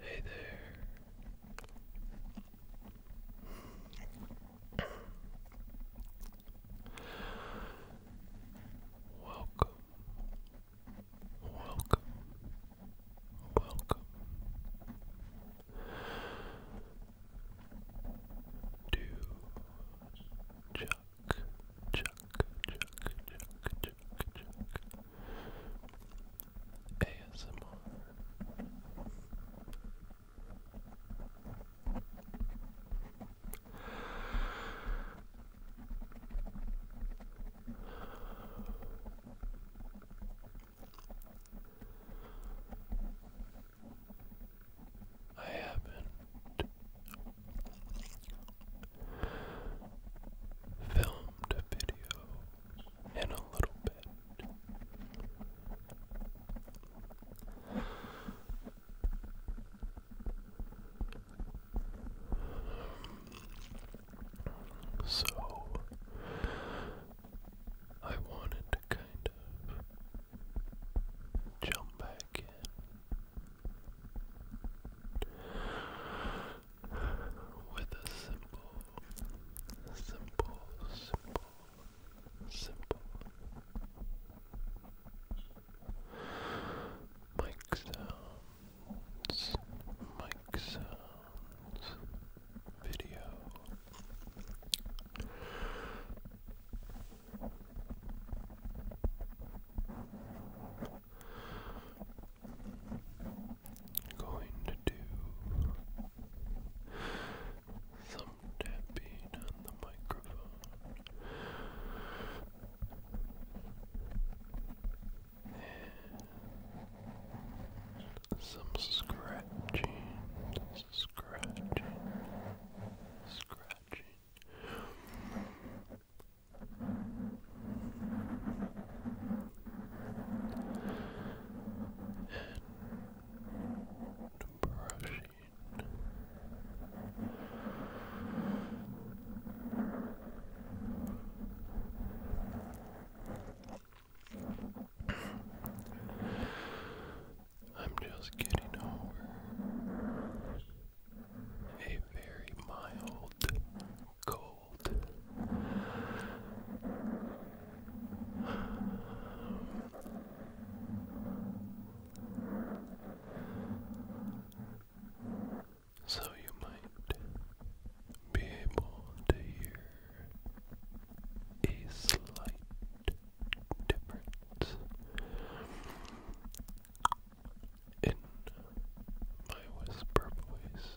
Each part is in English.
Hey there. Welcome. Welcome. Welcome to Chuck Chuck, Chuck, Chuck, Chuck, Chuck. ASMR. I haven't filmed a video in a little bit. So I wanted to kind of jump back with a simple, simple, simple, simple mic sounds, mic sounds, video. Going to do some tapping on the microphone and some scratching, scratching, scratching. I'm just getting over a very mild cold. So you might be able to hear a slight difference in my whisper voice.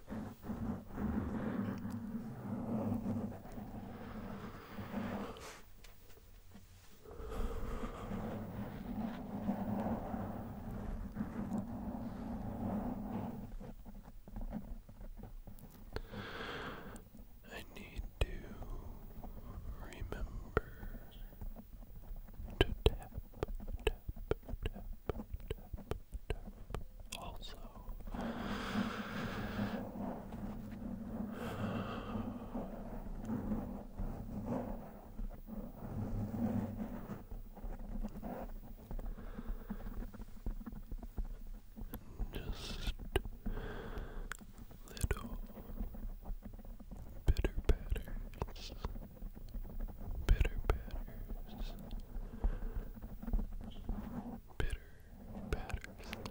I need to remember to tap, tap, tap, tap, also. Just little bitter batters, bitter batters, Bitter Patterson.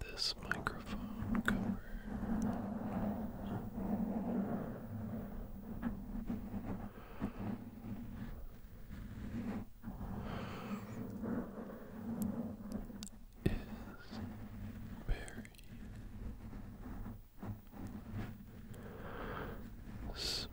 this microphone cover. Is very smooth.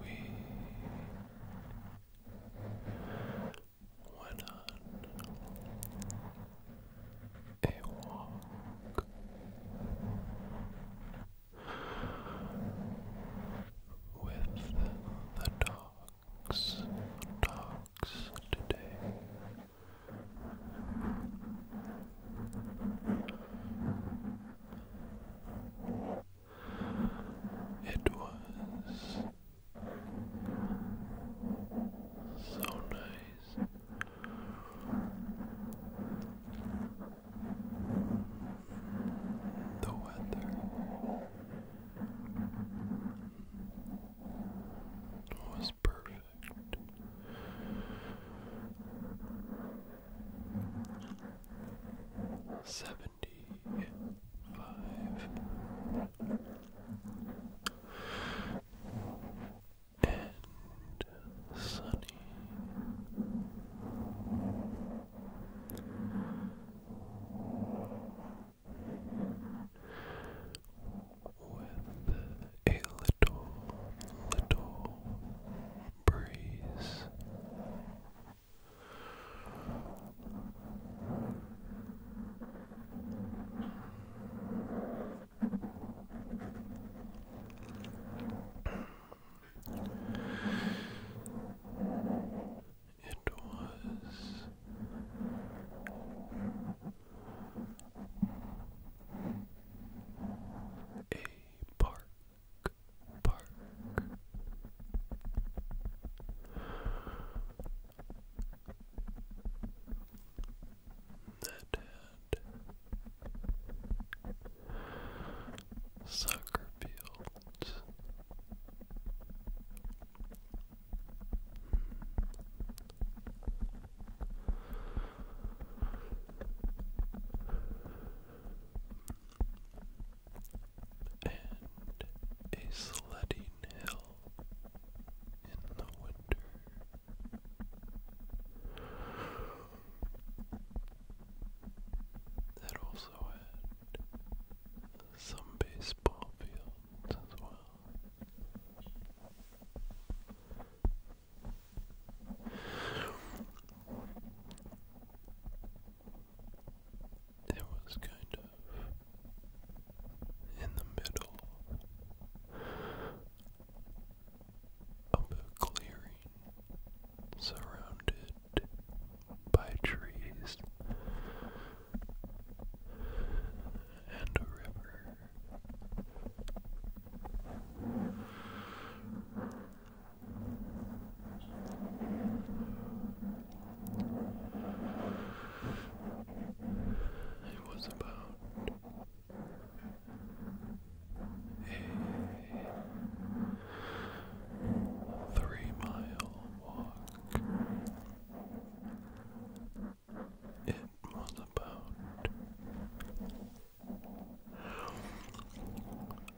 We went on a walk. With the dogs, dogs today. It was so nice. The weather was perfect perfect. Seventy five and sunny. With a little, little breeze. It was a park, park. That had soccer fields. Hmm and a sledding hill in the winter. That also had some baseball fields as well. It was kind of in the middle of a clearing surrounded by trees and a river. It was about a three mile walk. It was about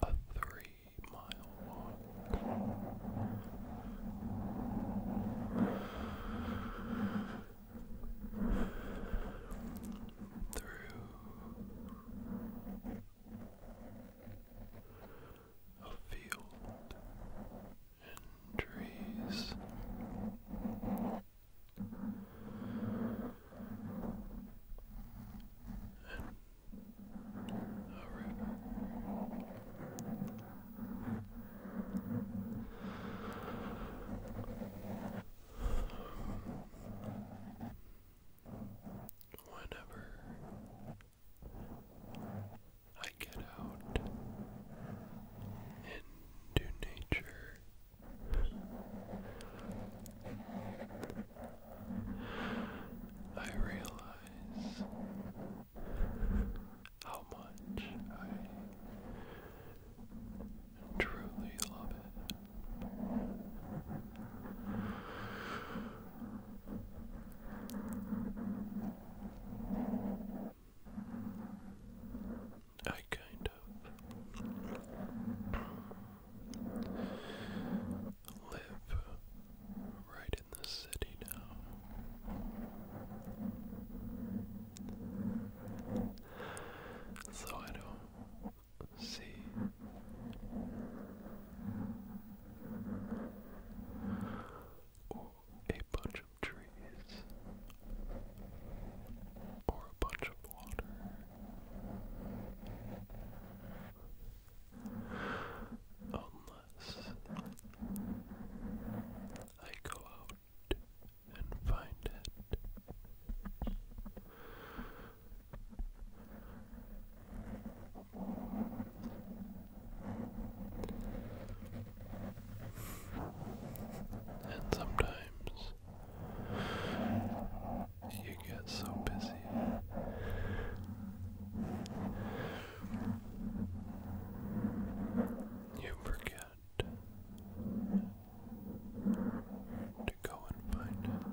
a three mile walk. Through a field and trees, Whenever I get out into nature I realize how much I truly love it. I kind live right in the city now. So I don't see a bunch of trees or a bunch of unless I go out and find it. And sometimes you get so busy. You forget to go and find it.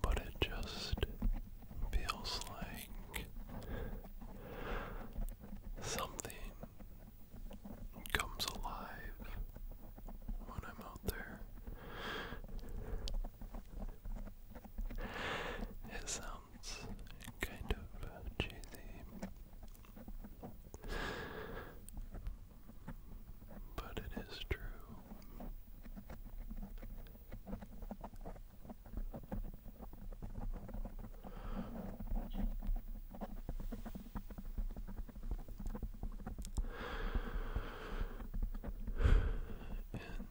but it just feels like something comes alive when I'm out there. It sounds kind of cheesy, but it is true. And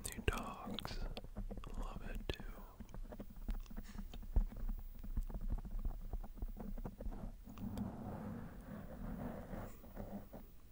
the dogs love it too.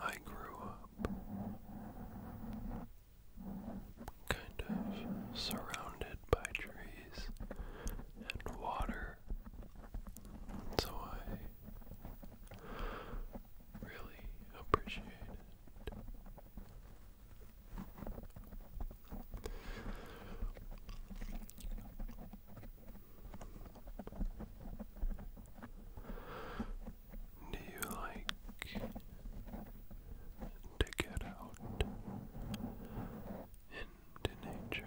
I grew up kind of surrounded by trees and water, so I really appreciate it do you like to get out into nature?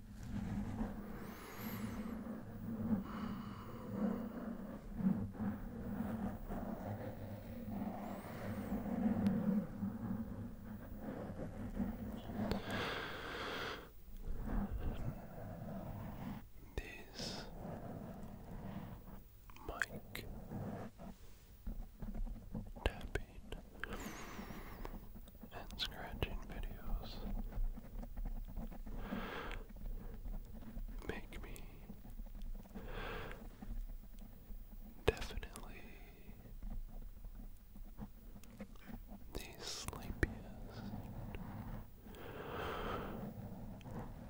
This mic tapping and scratching videos make me definitely the sleepiest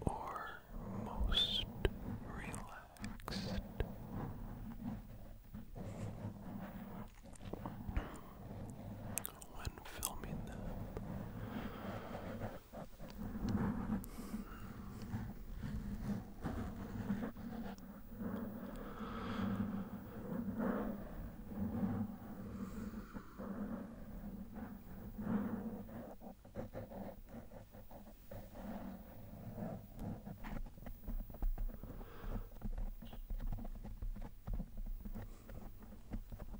or most relaxed when filming them.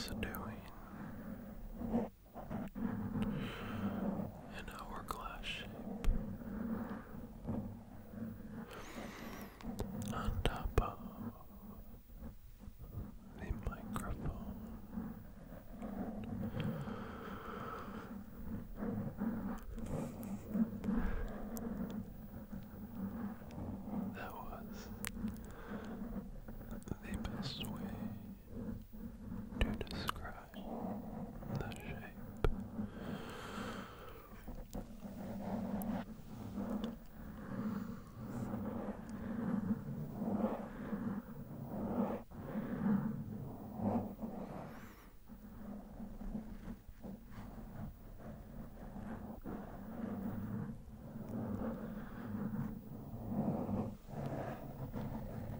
Just doing an hourglass shape and above the microphone. That was the best way to describe the shape.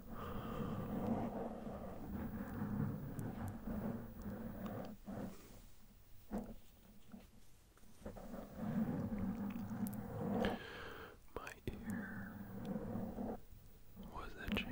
My ear was itching.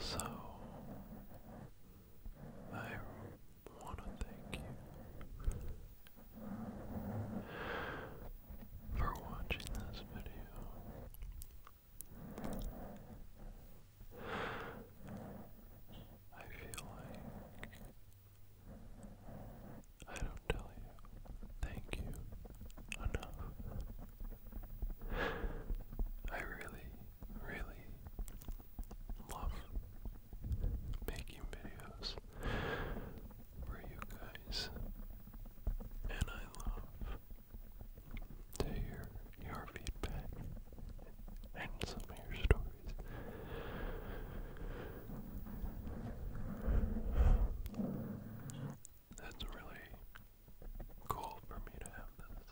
So I want to thank you for watching this video. I feel like I don't tell you thank you enough. I really, really love making videos for you guys. And I love to hear your feedback and some of your stories. That's really cool for me to have this.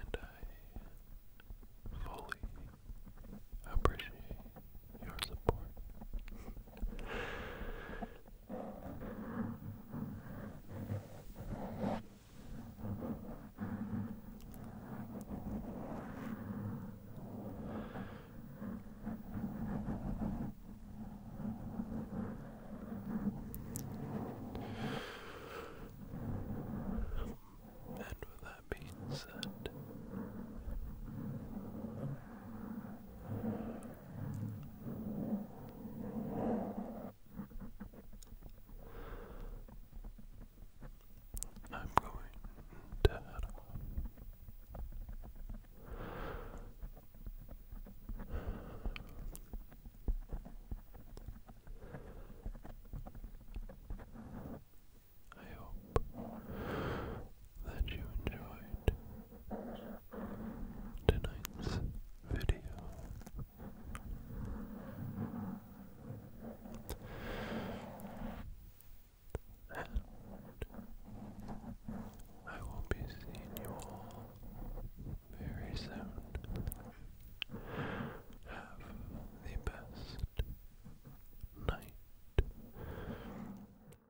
And I fully appreciate your support. And with that being said, I'm going to head off. I hope that you enjoyed tonight's video. And I will be seeing you all very soon. Have the best night.